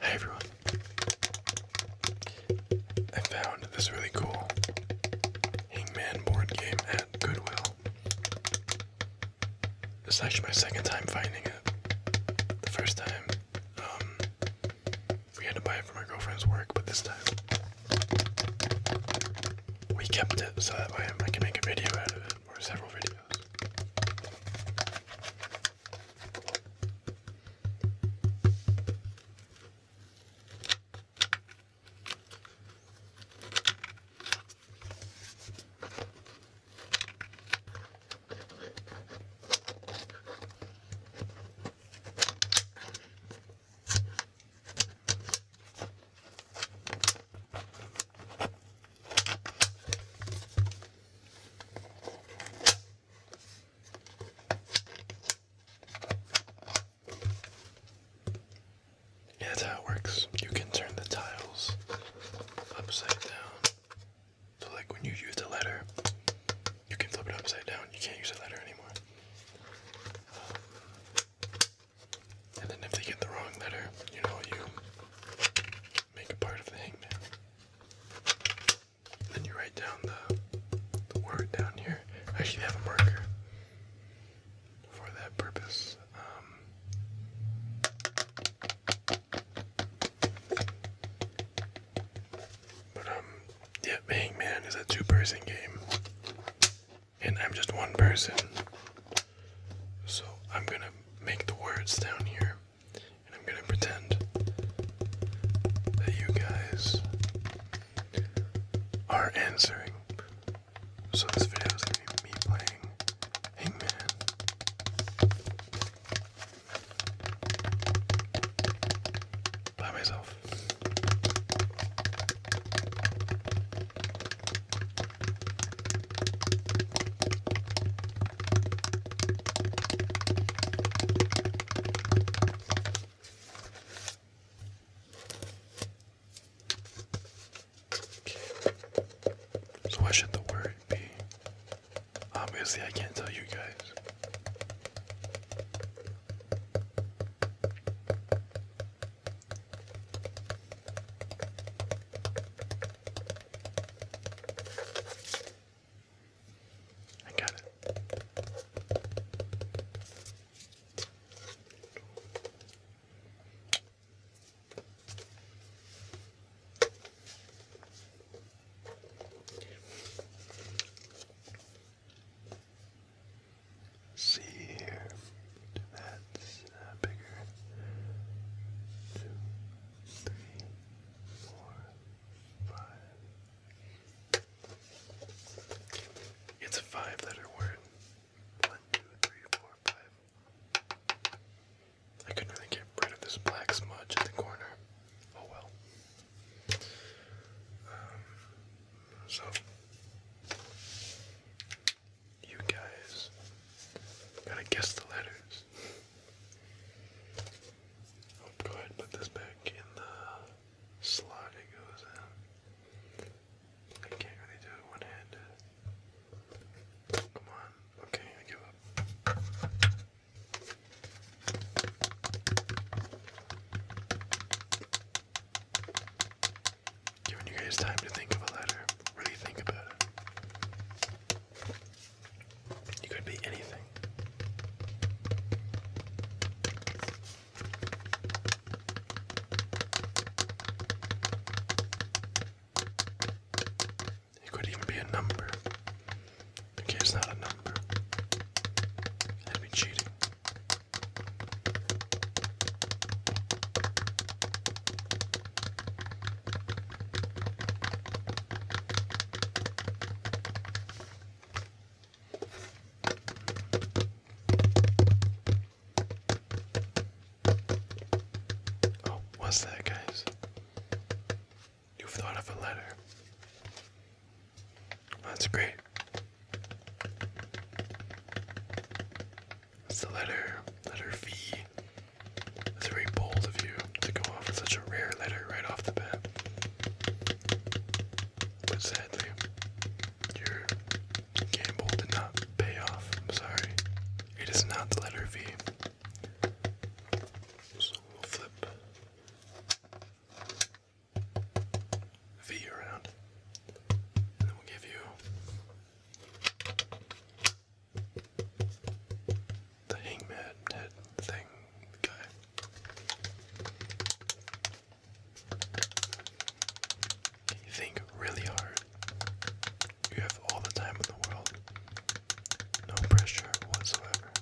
Hey everyone. I found this really cool Hangman board game at Goodwill. This is actually my second time finding it. The first time, um, we had to buy it for my girlfriend's work, but this time we kept it so that way I can make a video out of it or several videos that's how it works. You can turn the tiles upside down. So, like when you use the letter, you can flip it upside down. You can't use the letter anymore. And then if they get the wrong letter, you know, you make a part of the hangman. then you write down the, word down here. I actually have a marker for that purpose. Um, but um, yeah, Hangman is a two person game. And I'm just one person. So I'm gonna make the words down here. And I'm gonna pretend that you guys are answering. So this video is gonna be me playing Hangman. By myself. So what should the word be? Obviously I can't tell you guys. I got it see here. That's uh, bigger. Two, three, four, five. It's a five letter word. One, two, three, four, five. I couldn't really get rid of this black smudge in the corner. Oh well so, you guys gotta guess the letters. Oh, go ahead put this back in the slot it goes in. I can't really do it one handed. Come on. Okay, I give up. Giving you guys time to think of a letter. Really think about it. You could be anything. It could even be a number. Okay, it's not a number. i would be cheating. Oh, what's that, guys? You've thought of a letter. That's great. It's the letter, letter V. It's very bold of you to go off with such a rare letter right off the bat. But sadly, your gamble did not pay off. sorry. It is not the letter V. So we'll flip V around, and then we'll give you the hangman head thing guy. think really hard. You have all the time in the world. No pressure whatsoever.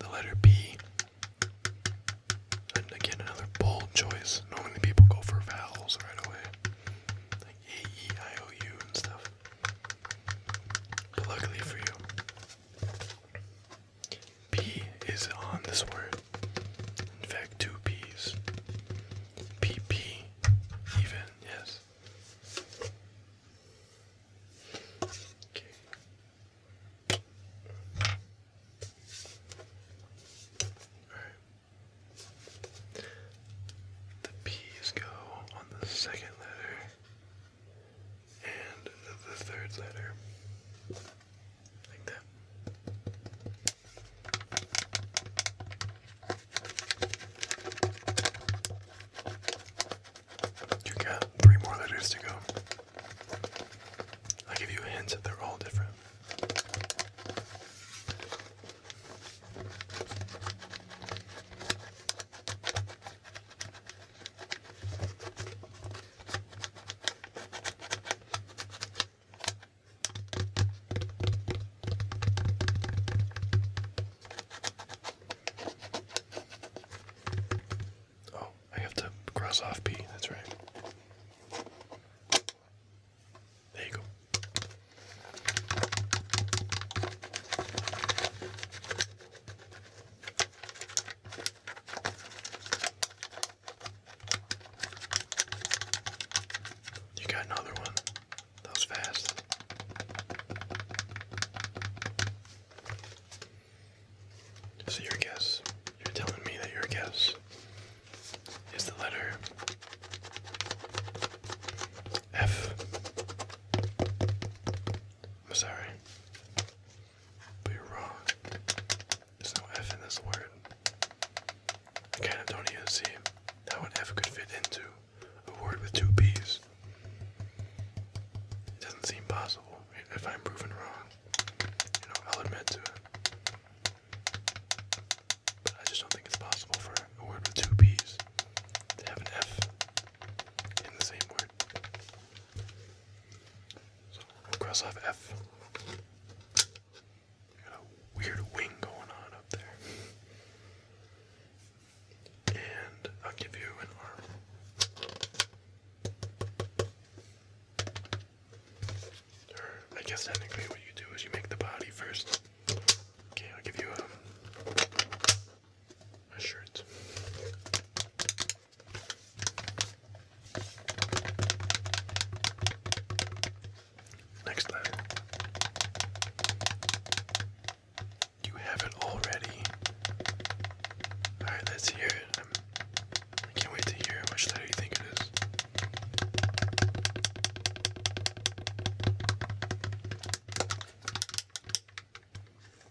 The letter B. And again, another bold choice. Normally, people go for vowels right away. A-E-I-O-U and stuff. But luckily for you, P is on this word. In fact, two P's. PP, even, yes. Okay. All right. The P's go on the second letter and the third letter. Like that. You got three more letters to go. i give you a hint that they're all different. Oh, I have to cross off P, that's right. There you go. You got another one. That was fast. So your guess. You're telling me that your guess is the letter F. I'm sorry, but you're wrong. There's no F in this word. I kind of don't even see how an F could fit into a word with two B's. It doesn't seem possible. If I'm proven wrong, you know, I'll admit to it. But I just don't think it's possible for a word with two P's to have an F in the same word. So cross off F. Got a weird wing going on up there. And I'll give you an arm. I guess technically what you do is you make the body first. Okay, I'll give you a, um, a shirt. Next letter. You have it already. Alright, let's hear it. I'm, I can not wait to hear it. Which letter you think it is?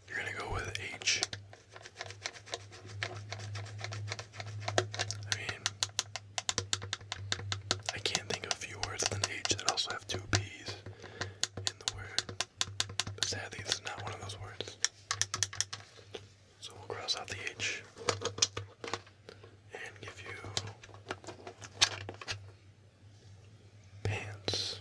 You're going to go with H. I mean, I can't think of few words with an H that also have two P's in the word. But sadly, this is not one of those words. So we'll cross out the H and give you pants.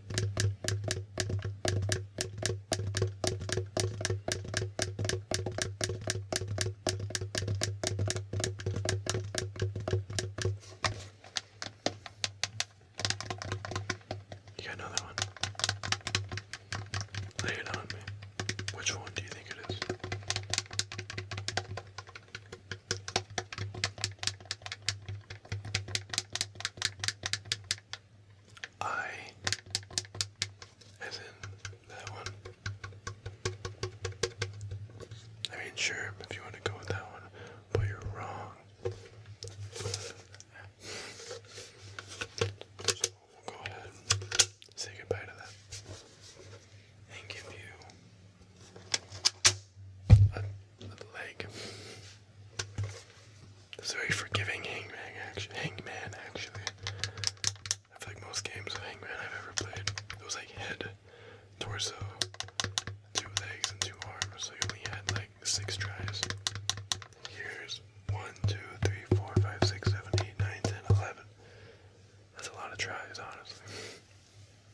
You got another one. Lay it on me. Which one do you think it is? I, as in that one. I mean, sure, if you want to go with that one, but you're wrong. So we'll go ahead say goodbye to that and give you a, a leg. It's very forgiving hangman action. Hangman actually. I feel like most games of hangman I've ever played, it was like head, torso, two legs and two arms. So you only had like six tries. Here's one, two, three, four, five, six, seven, eight, nine, ten, eleven. That's a lot of tries, honestly.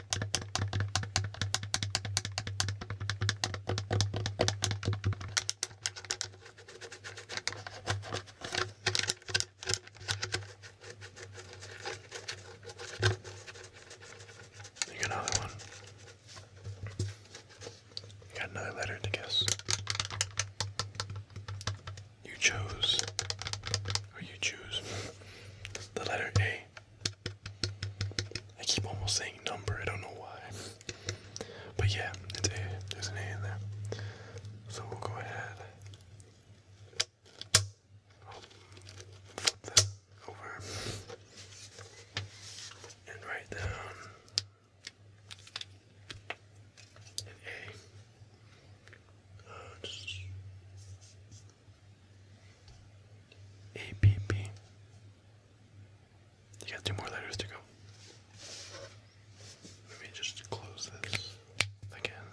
You got another one. You got another letter to guess. You chose, or you choose the letter A. I keep almost saying number, I don't know why. But yeah, There's an A in there. So we'll go ahead. Oh, flip that over and write down an A. Uh, a P P. You got two more letters to go. Let me just close this again.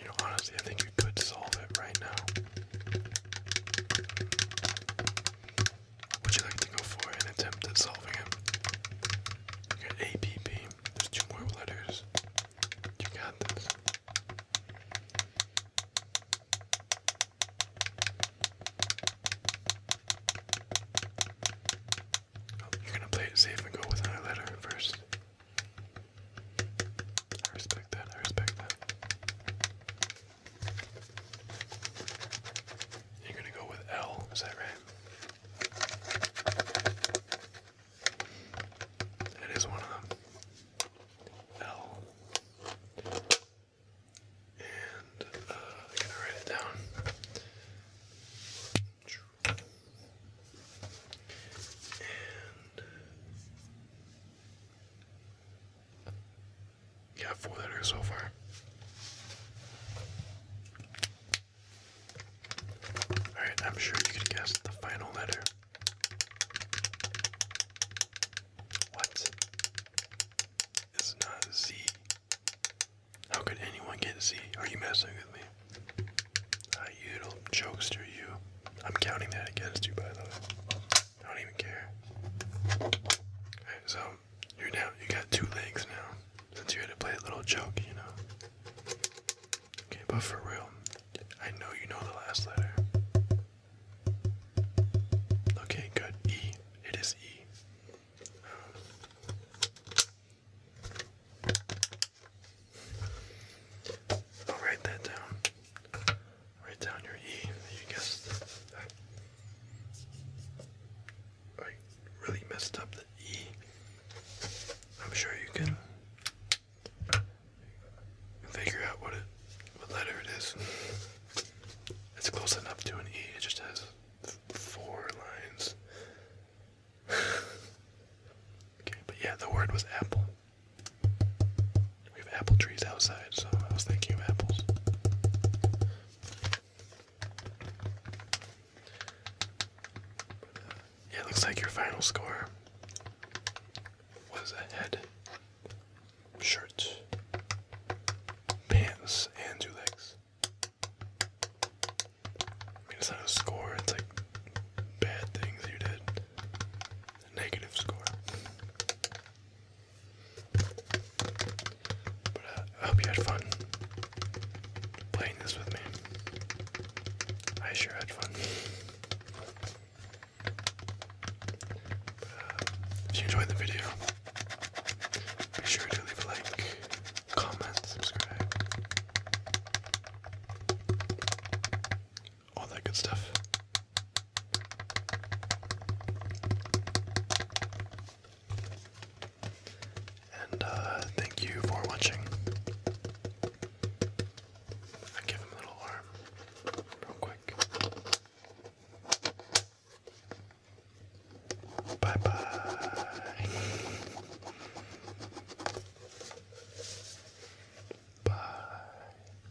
You know, honestly, I think you could solve it right now. Would you like to go for an attempt at solving it? You There's two more letters. You got this. Oh, you're gonna play it safe and go with another letter first. I respect that, I respect that. You're gonna go with L, is that right? It is one of them. L. And uh, I'm gonna write it down. Yeah, four letters so far. Alright, I'm sure you can guess the final letter. What? It's not Z. How could anyone get Z? Are you messing with me? you little jokester, you. I'm counting that against you, by the way. I don't even care. Alright, so you're now you got two legs now since you had to play a little joke, you know. Okay, but for real, I know you know the last letter. Okay, good. E. It is is will write that down. Write down your E. You guessed that. I really messed up the E. I'm sure you can figure out what letter it is. It's close enough to an E. It just has four lines. okay, but yeah, the word was apple. We have apple trees outside, so I was thinking of apples. yeah, it looks like your final score was a head, shirt, pants, and two legs. I mean, it's not a score, it's like bad things you did. negative score. But uh, I hope you had fun playing this with me. I sure had fun. Uh, if you enjoyed the video, be sure to leave a like, comment, subscribe, all that good stuff. And uh, thank you for watching. I give him a little arm real quick. Bye bye. bye.